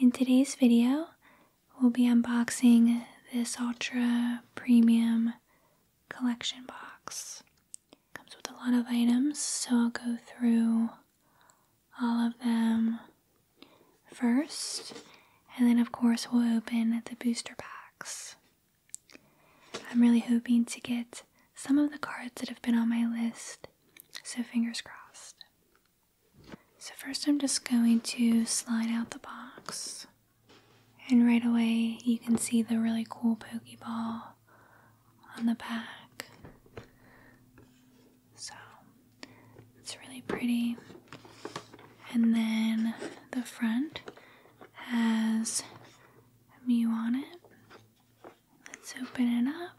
In today's video, we'll be unboxing this Ultra Premium Collection Box. comes with a lot of items, so I'll go through all of them first. And then of course we'll open the booster packs. I'm really hoping to get some of the cards that have been on my list so, fingers crossed. So, first, I'm just going to slide out the box, and right away, you can see the really cool Pokeball on the back. So, it's really pretty. And then the front has a Mew on it. Let's open it up.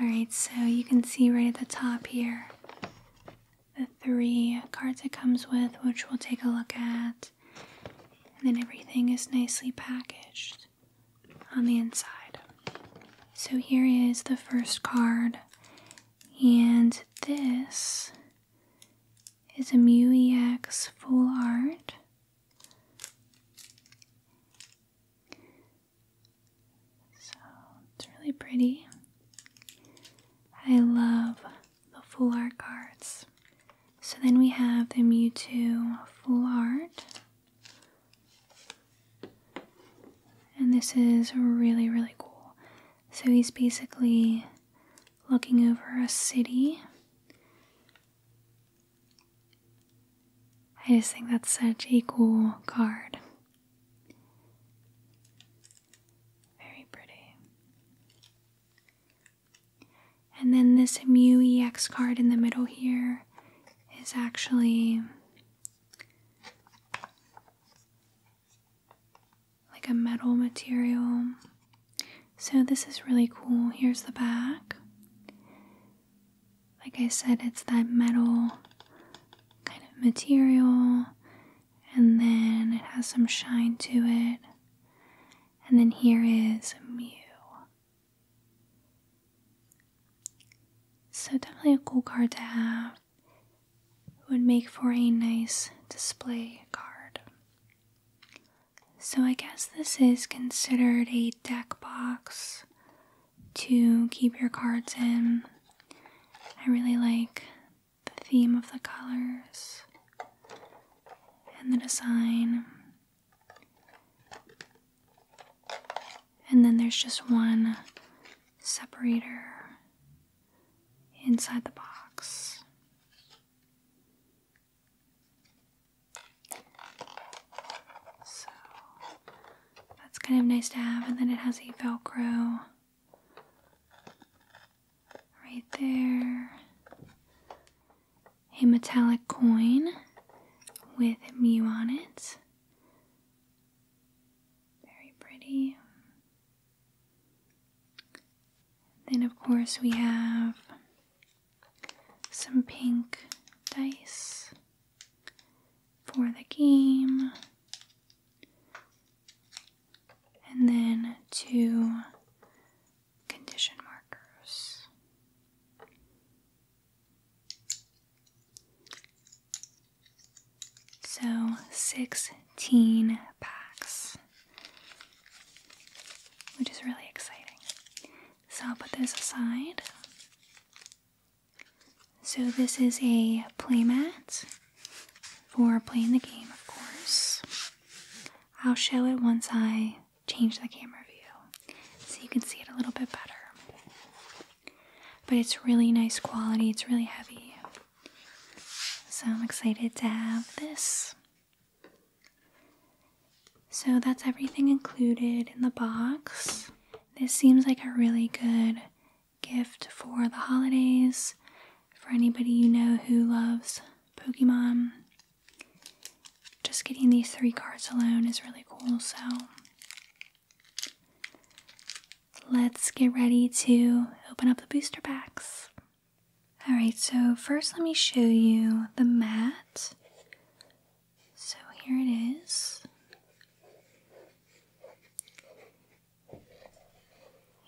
Alright, so you can see right at the top here the three cards it comes with, which we'll take a look at. And then everything is nicely packaged on the inside. So here is the first card, and this is a MUEX Full Art so it's really pretty. I love the full art cards. So then we have the Mewtwo full art. And this is really, really cool. So he's basically looking over a city I just think that's such a cool card. Very pretty. And then this muex card in the middle here is actually like a metal material. So, this is really cool. Here's the back. Like I said, it's that metal kind of material, and then it has some shine to it. And then here is Mew. So, definitely a cool card to have. would make for a nice display card. So I guess this is considered a deck box to keep your cards in. I really like the theme of the colors and the design. And then there's just one separator inside the box. So that's kind of nice to have, and then it has a Velcro right there, a metallic coin with Mew on it. Very pretty. Then, of course, we have some pink dice for the game. And then two condition markers. So 16 packs which is really exciting. So I'll put this aside. So this is a playmat for playing the game, of course. I'll show it once I change the camera view so you can see it a little bit better. But it's really nice quality, it's really heavy. So I'm excited to have this. So that's everything included in the box. This seems like a really good gift for the holidays, for anybody you know who loves Pokemon. Just getting these three cards alone is really cool, so let's get ready to open up the booster packs. Alright, so first let me show you the mat. So here it is.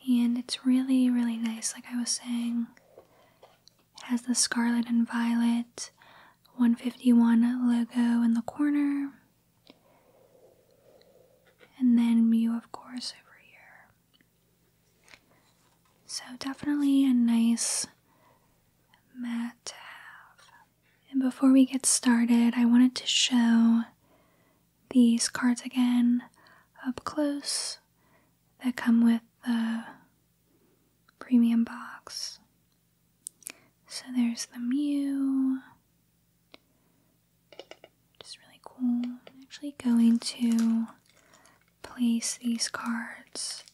And it's really, really nice, like I was saying. It has the scarlet and violet 151 logo in the corner. And then Mew, of course, over here. So, definitely a nice mat to have. And before we get started, I wanted to show these cards again up close that come with the premium box. So there's the Mew, which is really cool. I'm actually going to place these cards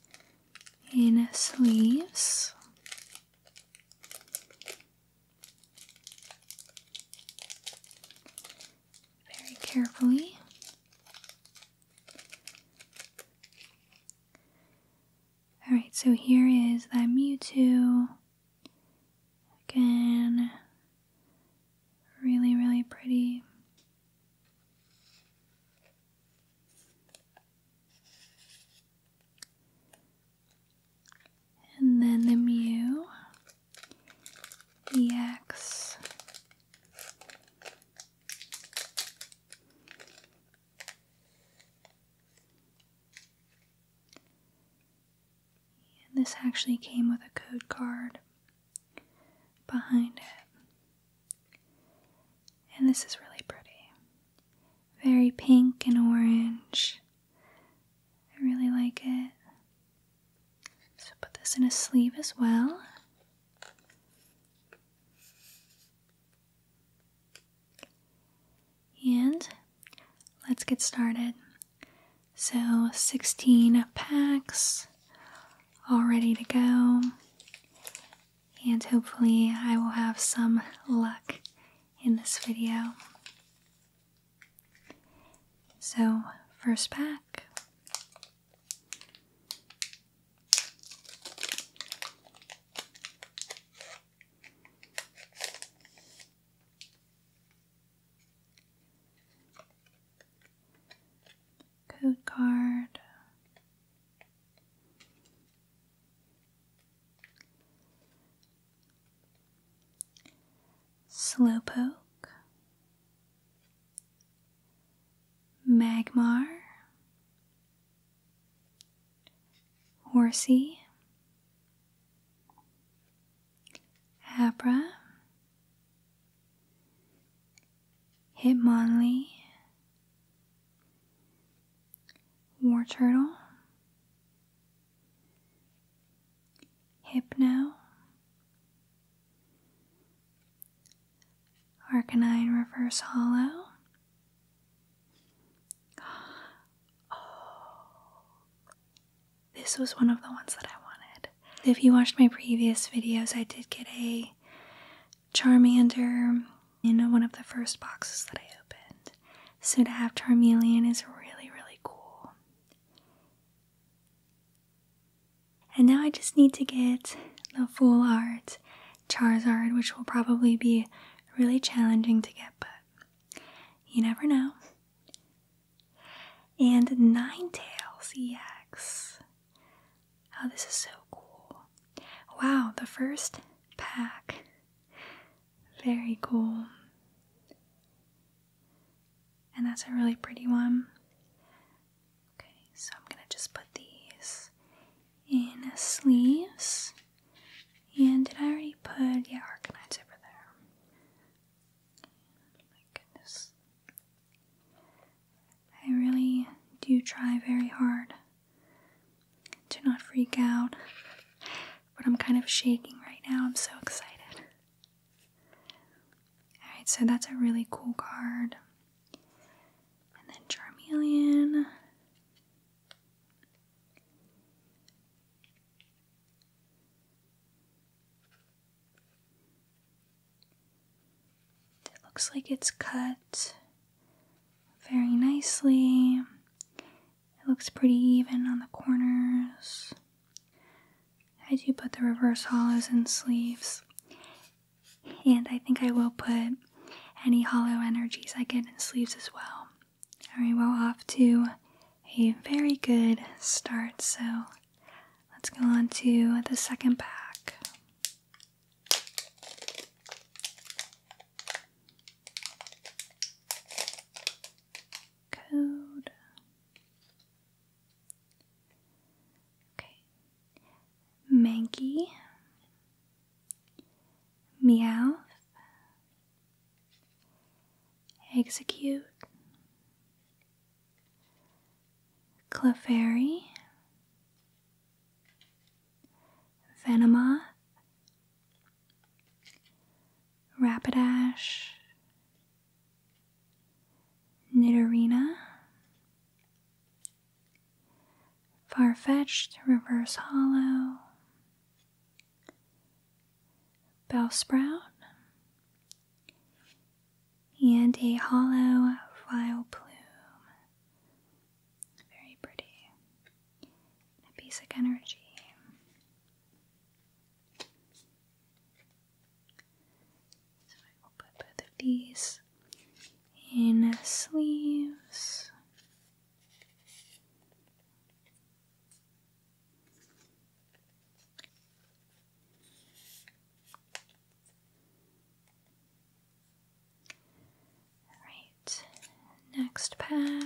in sleeves. Very carefully. Alright, so here is that Mewtwo. Again, really, really pretty. And then the Mew EX. And this actually came with a code card behind it. And this is really pretty. Very pink and orange. I really like it. So put this in a sleeve as well. And let's get started. So 16 packs all ready to go. And hopefully, I will have some luck in this video. So, first pack code card. Slowpoke, Magmar, Horsey, Abra, Hitmonlee, War Turtle, Hypno, Arcanine Reverse Hollow. Oh, this was one of the ones that I wanted. If you watched my previous videos, I did get a Charmander in one of the first boxes that I opened. So to have Charmeleon is really, really cool. And now I just need to get the full art Charizard, which will probably be really challenging to get, but you never know. And Ninetales EX. Oh, this is so cool. Wow, the first pack. Very cool. And that's a really pretty one. Okay, so I'm gonna just put these in sleeves. And did I already put, yeah, organize over there? my goodness. I really do try very hard to not freak out, but I'm kind of shaking right now. I'm so excited. Alright, so that's a really cool card. And then Charmeleon. It looks like it's cut very nicely. It looks pretty even on the corners. I do put the reverse hollows in sleeves. And I think I will put any hollow energies I get in sleeves as well. Alright, well, off to a very good start, so Let's go on to the second pack. Code. Okay. Mankey. Meowth. Execute. Clefairy, Venema, Rapidash, Nidorina, Farfetched Reverse Hollow, Bellsprout, and a hollow vile plume. Very pretty. A basic energy. So I will put both of these in sleeves. Alright, next pack.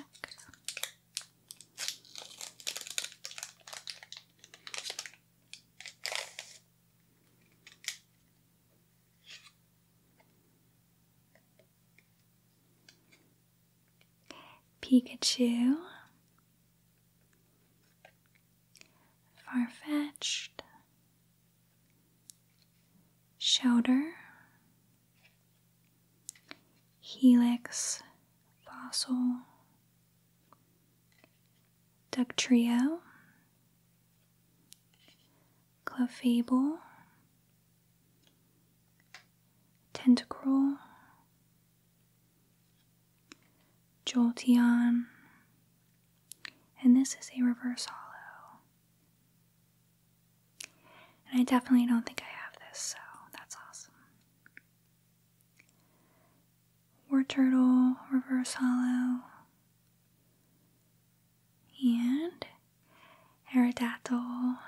Pikachu, far fetched, shoulder, helix, fossil, Duck trio. clefable, tentacruel, Jolteon, and this is a reverse hollow. And I definitely don't think I have this, so that's awesome. War Turtle, reverse hollow, and Aerodactyl.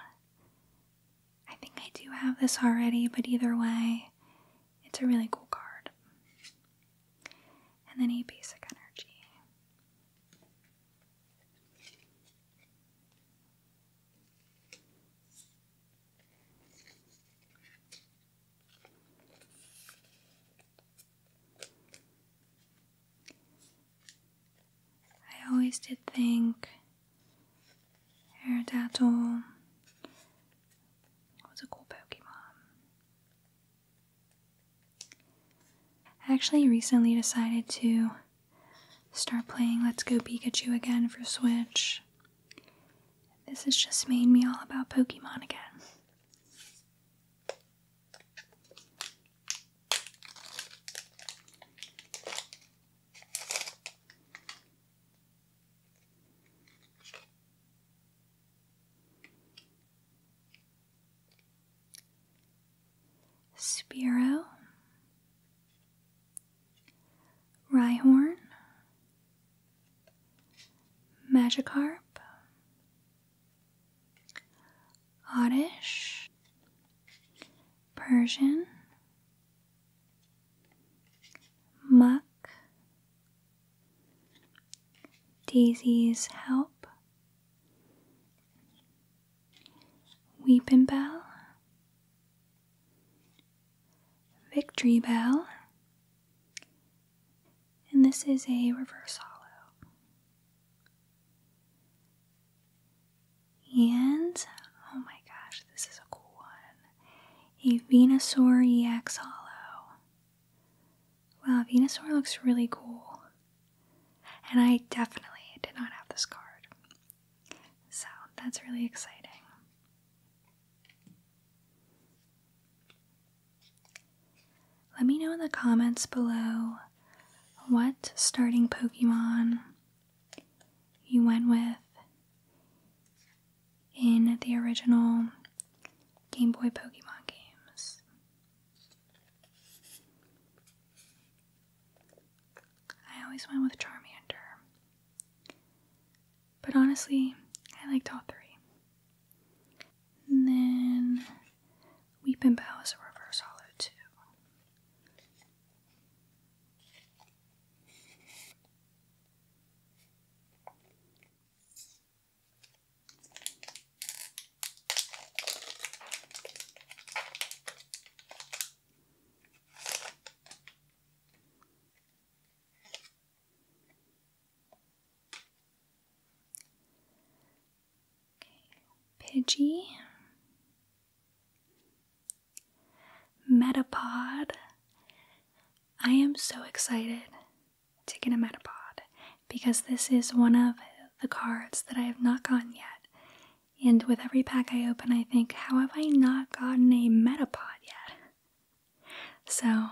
I think I do have this already, but either way, it's a really cool card and then a basic energy. I always did think Aerodactyl was a cool Pokemon. I actually recently decided to start playing Let's Go Pikachu again for Switch. This has just made me all about Pokemon again. Spiro, Rhyhorn, Magikarp, Oddish, Persian, Muck, Daisy's Help, Weepin' Bell, Victory Bell, and this is a reverse hollow. And oh my gosh, this is a cool one a Venusaur EX hollow. Wow, Venusaur looks really cool. And I definitely did not have this card. So that's really exciting. Let me know in the comments below what starting Pokemon you went with in the original Game Boy Pokemon games. I always went with Charmander, but honestly, I liked all three. then Weepin' Bow is a reverse hollow, too. Pidgey, Metapod. I am so excited to get a Metapod because this is one of the cards that I have not gotten yet. And with every pack I open, I think, how have I not gotten a Metapod yet? So,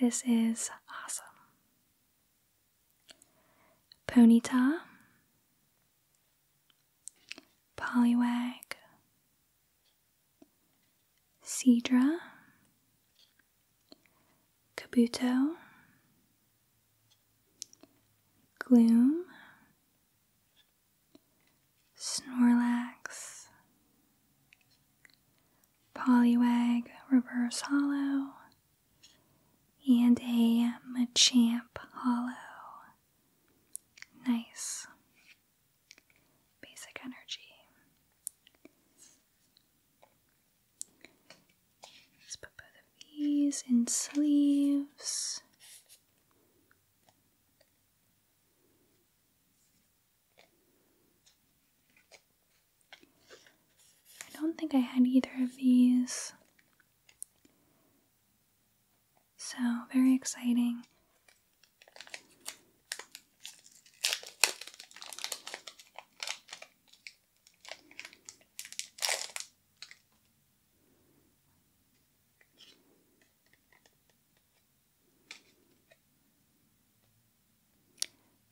this is awesome. Ponyta, Poliwag, Cedra, Kabuto, Gloom, Snorlax, Poliwag Reverse Hollow, and a Machamp Hollow. Nice. Basic energy. Let's put both of these in sleeves. I don't think I had either of these. So, very exciting.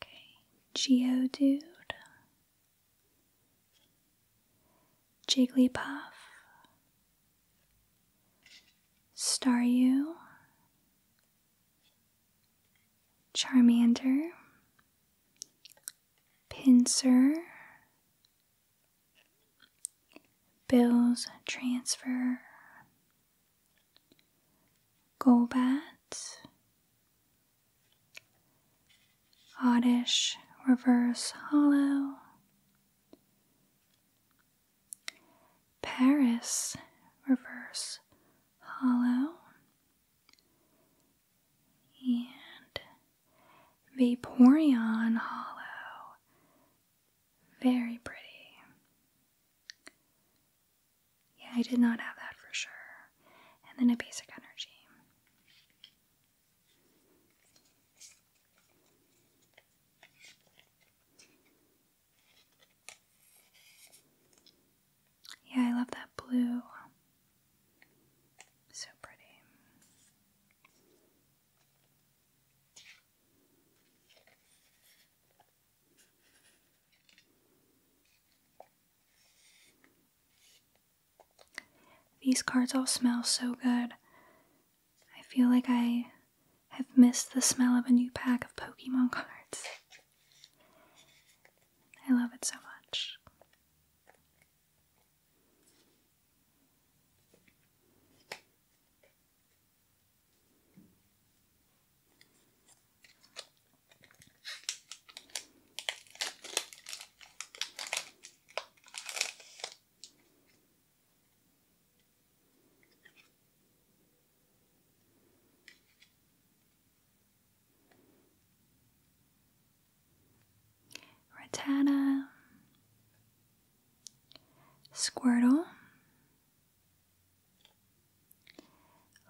Okay, Geo Dude, Jigglypuff, Staryu, Charmander, Pincer, Bill's Transfer, Golbat, Oddish Reverse Hollow, Paris, reverse hollow, and Vaporeon hollow. Very pretty. Yeah, I did not have that for sure. And then a basic energy. Yeah, I love that blue. So pretty. These cards all smell so good. I feel like I have missed the smell of a new pack of Pokemon cards. I love it so much. Rattata, Squirtle,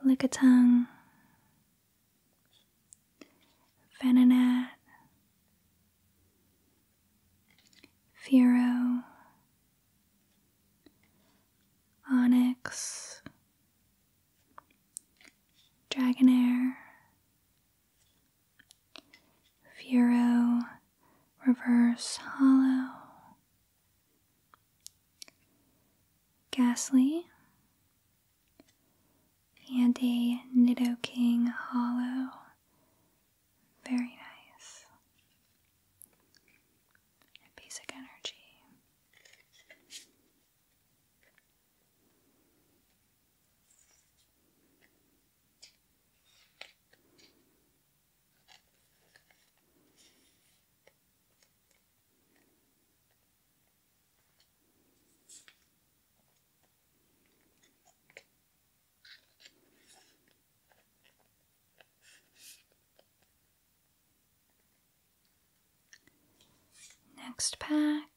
Lickitung, Venonat, Firo, Onyx, Dragonair, Furo, Reverse Hollow, Ghastly, and a Nidoking Hollow. Very nice basic energy. Next pack.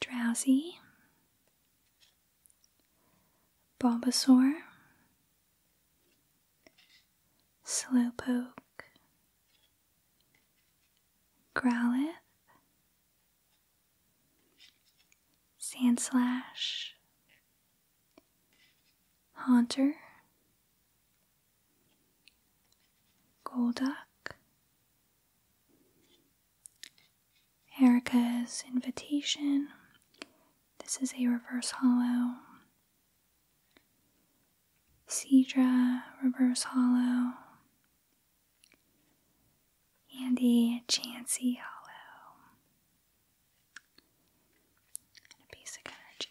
Drowsy, Bulbasaur, Slowpoke, Growlithe, Sandslash, Haunter, Golduck, Erica's invitation, this is a reverse hollow. Cedra reverse hollow. Andy, chancey hollow. And a basic energy.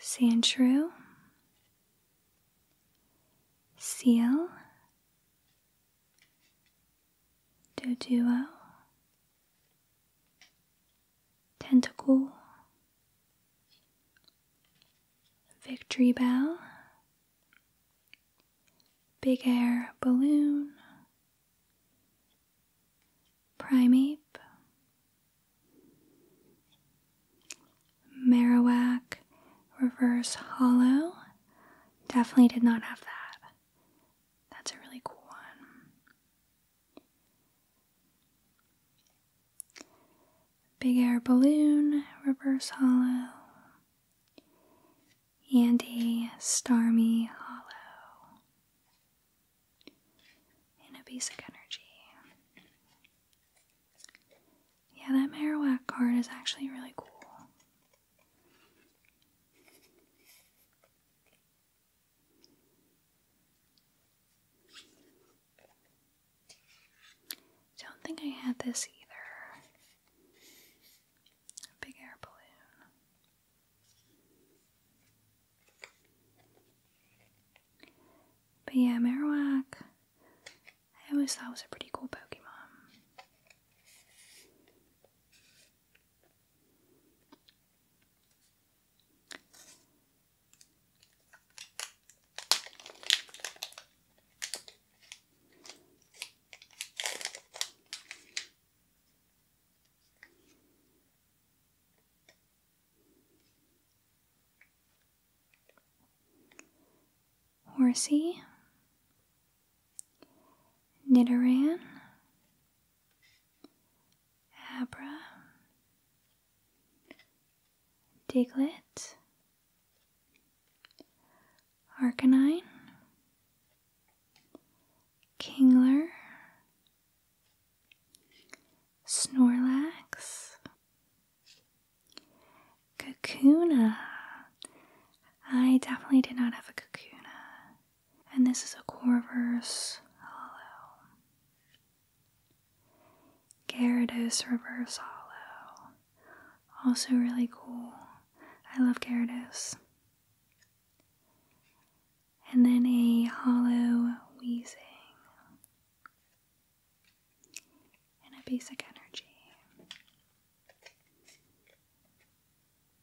Sandshrew, Seal, Doduo, Tentacle, Victory Bell, Big Air Balloon, Primeape, Marowak Reverse Hollow. Definitely did not have that. That's a really cool one. Big Air Balloon, Reverse Hollow, Andy Starmy Hollow, and a energy. Yeah, that Marowak card is actually really cool. Don't think I had this either. big air balloon. But yeah, Marowak, I always thought was a pretty cool Pokemon. Horsey, Nidoran, Abra, Diglett, Arcanine, Kingler, Snorlax, Kakuna. I definitely did not have a Kakuna and this is a Corvus Hollow. Gyarados Reverse Hollow. Also really cool. I love Gyarados. And then a Hollow wheezing And a Basic Energy.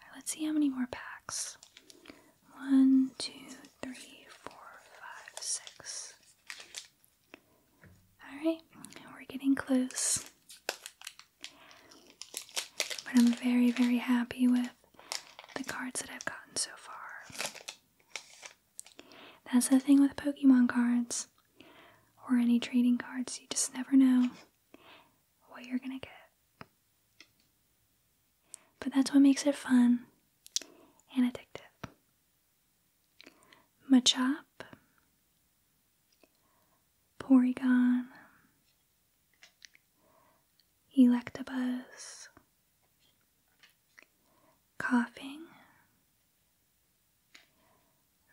Right, let's see how many more packs. One, two, three, four, five, six. Alright, we're getting close. But I'm very, very happy with the cards that I've gotten so far. That's the thing with Pokemon cards or any trading cards, you just never know what you're gonna get. But that's what makes it fun and addictive. Machop, Porygon, Electabuzz, coughing,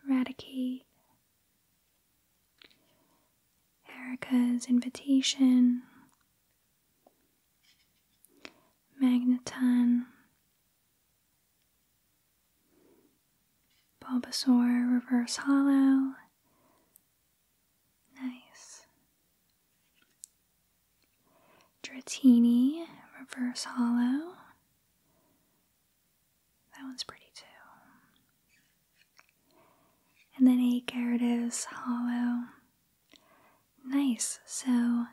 eradicate, Erica's invitation, Magneton, Bulbasaur reverse hollow. Nice. Dratini Reverse Hollow. That one's pretty too. And then a Gyarados Hollow. Nice. So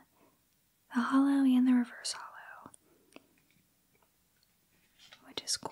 the hollow and the reverse hollow, which is cool.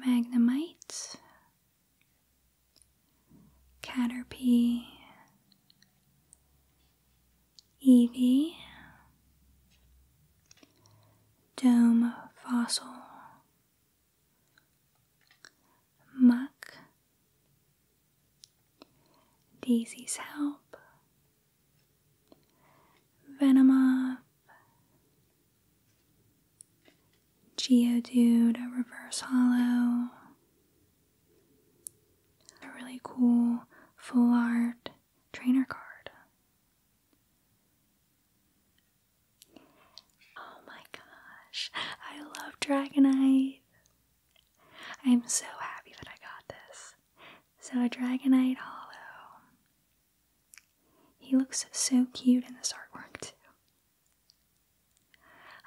Magnemite, Caterpie, Eevee, dome fossil, muck, Daisy's help, Venomoth, Geodude, a reverse hollow, a really cool full art trainer card. Oh my gosh, I love Dragonite. I'm so happy that I got this. So, a Dragonite Hollow. He looks so cute in this artwork, too.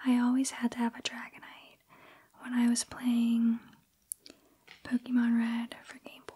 I always had to have a Dragonite when I was playing Pokemon Red for Game Boy.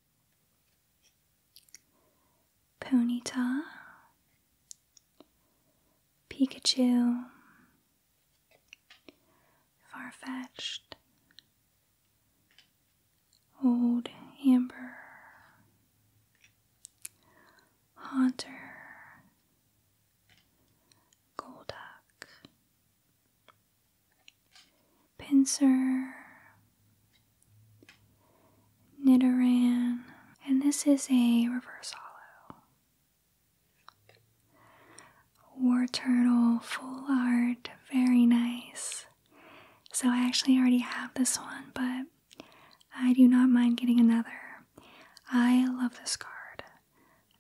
Ponyta, Pikachu, Farfetched, Old Amber, Haunter, Golduck, pincer, nidoran, and this is a reverse hollow. War turtle, full art, very nice. So I actually already have this one, but I do not mind getting another. I love this card.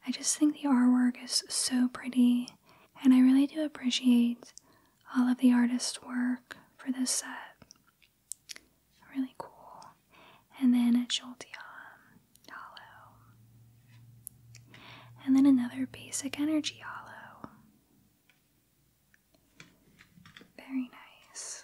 I just think the artwork is so pretty and I really do appreciate all of the artist's work for this set. Really cool. And then a Jolteon Hollow. And then another basic energy hollow. Very nice.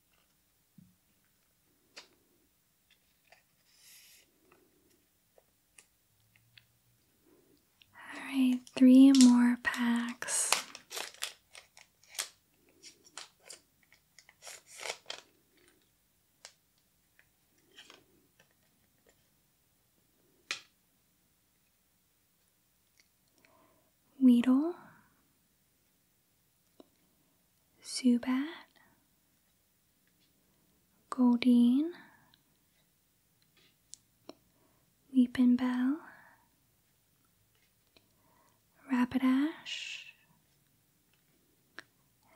Alright, three more packs. Weedle, Zubat, Goldine, Weepin' Bell, Rapidash,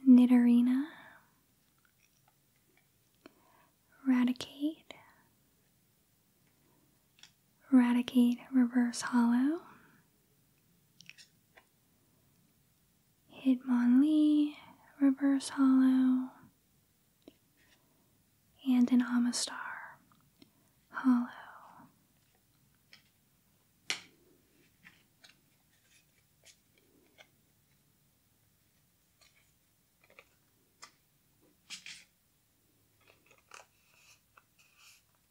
Nidorina, Radicate, Radicate Reverse Hollow, Hitmonlee, Reverse Hollow, and an Amistar Hollow.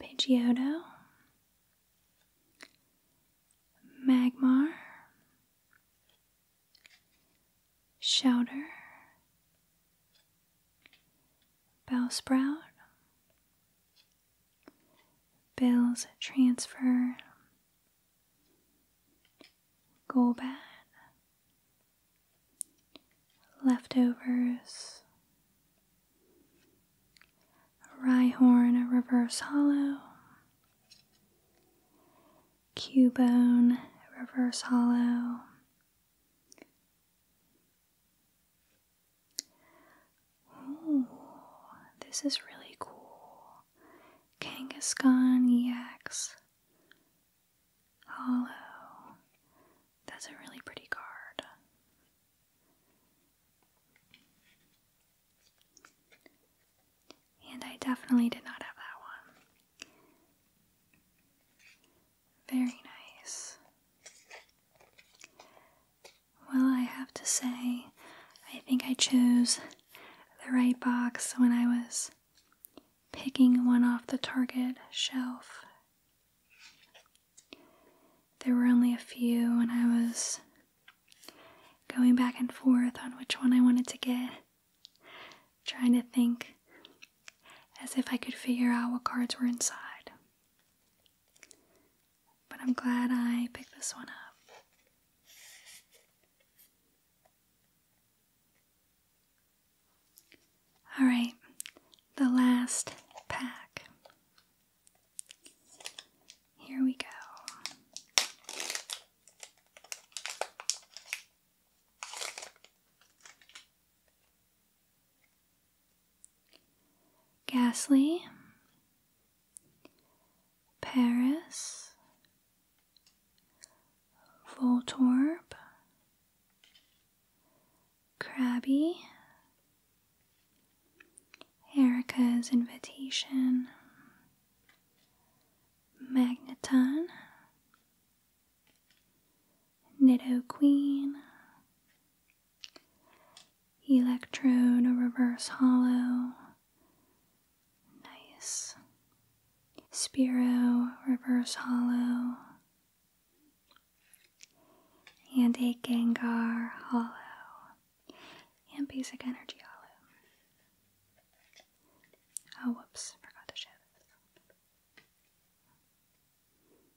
Pidgeotto, Magmar, Shouter, Bowsprout, Bills transfer, Golbat, Leftovers, Rhyhorn Reverse Hollow, Cubone Reverse Hollow, Ooh, this is really cool. Kangaskhan Yaks. Hollow. That's a really pretty card. And I definitely did not have that one. Very nice. Well, I have to say, I think I chose the right box when I was picking one off the Target shelf. There were only a few, and I was going back and forth on which one I wanted to get, trying to think as if I could figure out what cards were inside but I'm glad I picked this one up. Alright, the last pack. Here we go. Gasly, Paris, Voltorb, Krabby, Erica's Invitation, Magneton, Nido Queen, electrode, a reverse hollow. Nice. Spiro, reverse hollow. And a Gengar hollow. And basic energy hollow. Oh, whoops, forgot to show this.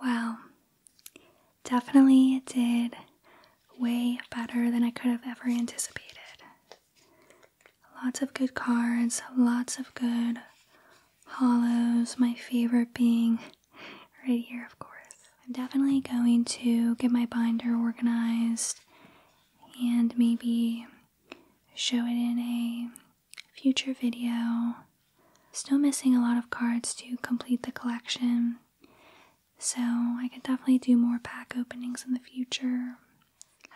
Wow, definitely did way better than I could have ever anticipated. Lots of good cards, lots of good hollows, my favorite being right here, of course. I'm definitely going to get my binder organized and maybe show it in a future video. Still missing a lot of cards to complete the collection, so I could definitely do more pack openings in the future.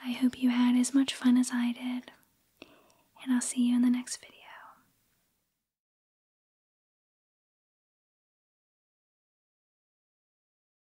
I hope you had as much fun as I did, and I'll see you in the next video.